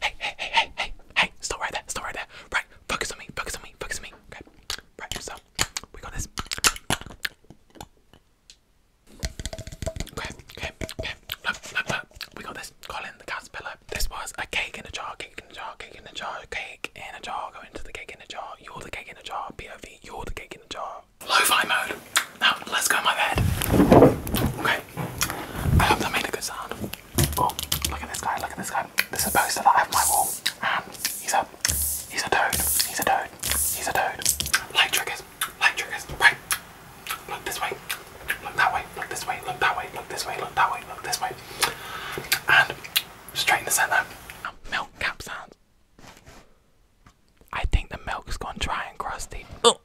Hey, hey, hey, hey, hey, hey, still right there, still right there. Right, focus on me, focus on me, focus on me. Okay, right, so we got this. Okay, okay, okay, look, look, look. We got this. Colin the caterpillar. This was a cake in a jar, cake in a jar, cake in a jar, cake in a jar. Go into the cake in a jar. You're the cake in a jar. POV, you're the cake in a jar. Lo-fi mode. Now let's go in my bed. Okay. I hope that made a good sound. Oh, look at this guy, look at this guy. This is a poster that I have my wall. Um, he's a he's a toad. He's a toad. He's a toad. Light triggers. Light triggers. Right. Look this way. Look that way. Look this way. Look that way. Look this way. Look that way. Look this way. And straight in the centre. Milk cap sounds. I think the milk's gone dry and crusty. Oh.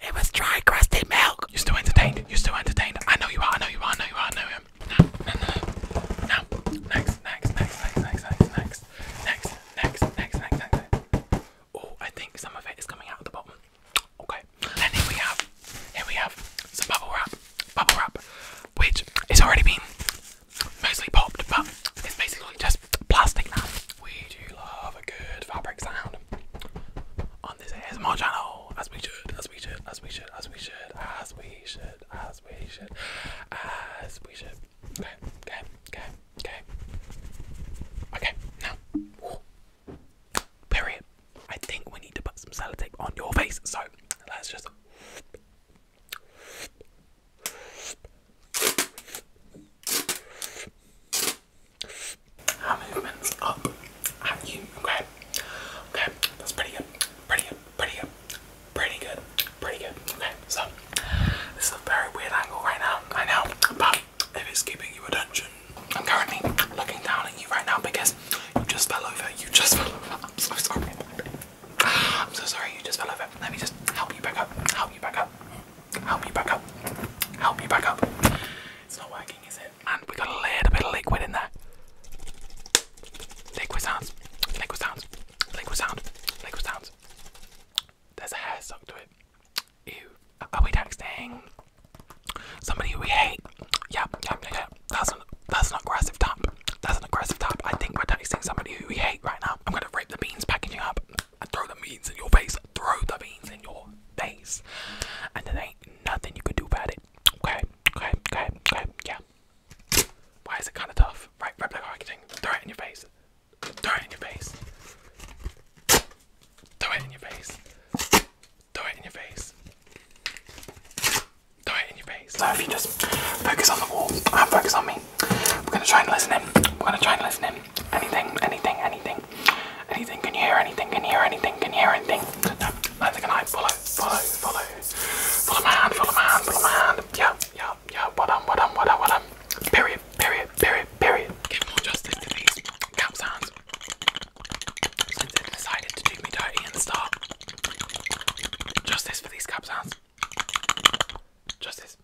It was dry, crusty milk. You're still entertained. You're still entertained. I know you are. I know you are. I know you are. I know him. No, no, no, no. Next, next, next, next, next, next, next, next, next, next, next, next. Oh, I think some of it is coming out of the bottom. Okay. And here we have, here we have some bubble wrap, bubble wrap, which is already been mostly popped, but it's basically just plastic now. We do love a good fabric sound on on this ASMR channel as we should, as we should, as we should, as we should, as we should, as we should, as we should. Okay, okay, okay, okay. Okay, now. Period. I think we need to put some sellotape on your face, so let's just. Our movement's up at you, okay? Okay, that's pretty good, pretty good, pretty good, pretty good, pretty good. Okay, so this is a very weird angle right now, I know, but if it's keeping you attention, I'm currently looking down at you right now because you just fell over, you just fell over. sorry. I'm so sorry you just fell over. Let me just help you back up. Help you back up. Help me back up. Help me back up. It's not working, is it? And we got a little bit of liquid in there. Liquid sounds. Liquid sounds. Liquid sounds. Liquid sounds. There's a hair stuck to it. Ew. Are we texting? Somebody we hate. Yeah. yep, yep, That's an that's an aggressive tap. That's an aggressive tap. I think we're texting somebody who we hate right now. I'm gonna rip the beans packaging up. I throw the beans in your face. I throw the beans in your face. And there ain't nothing you could do about it. Okay, okay, okay, okay, yeah. Why is it kind of tough? Right, replica architecting. Throw it in your face. Throw it in your face. Throw it in your face. Throw it in your face. Throw it in your face. So if you just focus on the wall and uh, focus on me, we're gonna try and listen in. We're gonna try and listen in. Anything, anything, anything. Anything, can you hear anything? Can you hear anything? Can you hear anything? No, can I. Follow, follow, follow. Follow my hand, follow my hand, follow my hand. Yeah, yeah, yeah. What up, what up, what up, what up. Period, period, period, period. justice to these cow sounds. Since they decided to do me dirty and start. Justice for these cow sounds. Justice,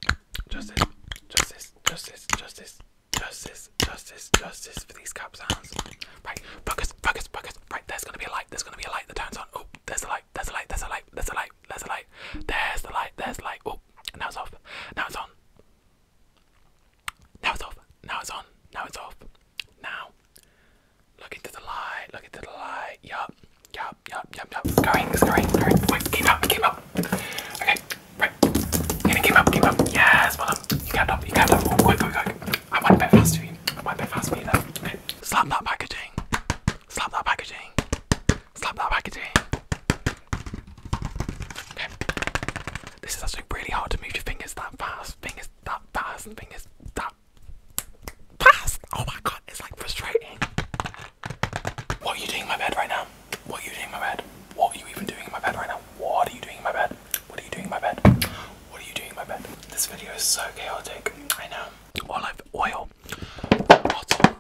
justice, justice, justice, justice. Justice, justice, justice for these cap sounds. Right, focus, focus, focus. Right, there's gonna be a light, there's gonna be a light that turns on. Oh, there's a light, there's a light, there's a light, there's a light, there's a light, there's the light, there's the light. Oh, now it's off, now it's on. Now it's off, now it's on, now it's off. Now, look into the light, look into the light. Yup, yup, yup, yup, yup. Going, it's going, going. Wait, keep up, keep up. Okay, Right. Gonna keep up, keep up. Yes, well done. Um, you got up, you got up. Oh, quick, quick, quick. I want to bet fast for you. I want to bet fast for you now. Okay. Slap that packaging. Slap that packaging. Slap that packaging. Okay. This is actually really hard to move your fingers that fast. Fingers that fast. Fingers that fast. Oh my god, it's like frustrating. What are you doing in my bed right now? What are you doing in my bed? What are you even doing in my bed right now? What are you doing in my bed? What are you doing in my bed? What are you doing in my bed? This video is so chaotic. I know. Olive oil. Bottle.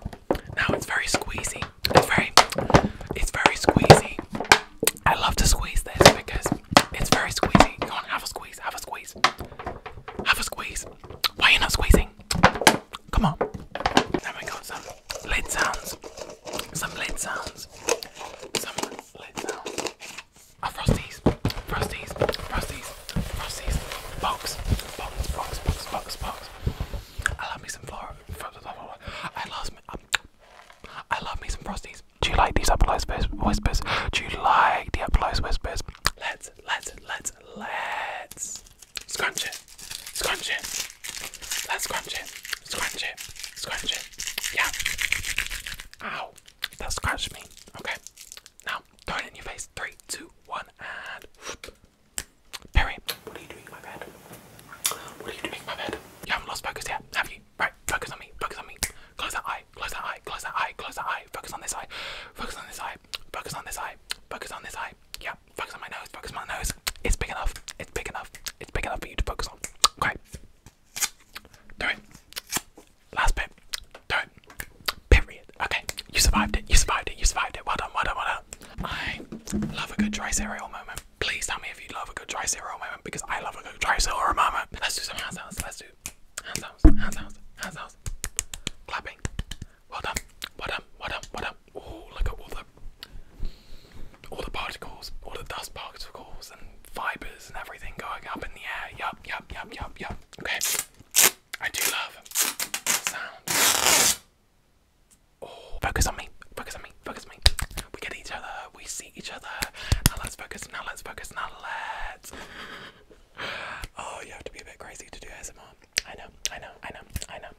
Now it's very squeezy. It's very, it's very squeezy. I love to squeeze this because it's very squeezy. Go on, have a squeeze, have a squeeze. Have a squeeze. Why are you not squeezing? Come on. Now we got some lid sounds. Some lid sounds. Some lid sounds. Oh, frosties. Frosties. Frosties. Frosties. Box. Box. Box. Box. Box. Box. I love me some flora. I lost me. Um, I love me some frosties. Do you like these applause whispers? Do you like the applause whispers? Let's, let's, let's, let's Scrunch it, scrunch it. Let's scrunch it, scrunch it, scrunch it. Yeah. Ow, that scratched me. Okay. Now, throw it in your face. Three, two, one, and. Perry, what are you doing in my bed? What are you doing in my bed? You haven't lost focus yet, have you? Right, focus on me, focus on me. Close that eye, close that eye, close that eye, close that eye. Focus on this eye, focus on this eye, focus on this eye, focus on this eye. Yeah, focus on my nose, focus on my nose. It's big enough, it's big enough, it's big enough for you to focus on. Okay. Do it. Last bit. Do it. Period. Okay. You survived it. You survived it. You survived it. Well done, well done, well done. I love a good dry moment. Please tell me if you love a good dry moment because I love a good dry moment. Let's do some hand sounds. Let's do hand sounds, hand Clapping. Well done. Well done. Well done. Well done oh look at all the all the particles, all the dust particles and fibers and everything going up in the air. Yup, yup, yup, yup, yup. Okay. I do love sound. Oh, focus on me. Focus on me. Focus on me. We get each other. We see each other. Now let's focus. Now let's focus. Now let's. Oh, you have to be a bit crazy to do ASMR. know. I know. I know. I know.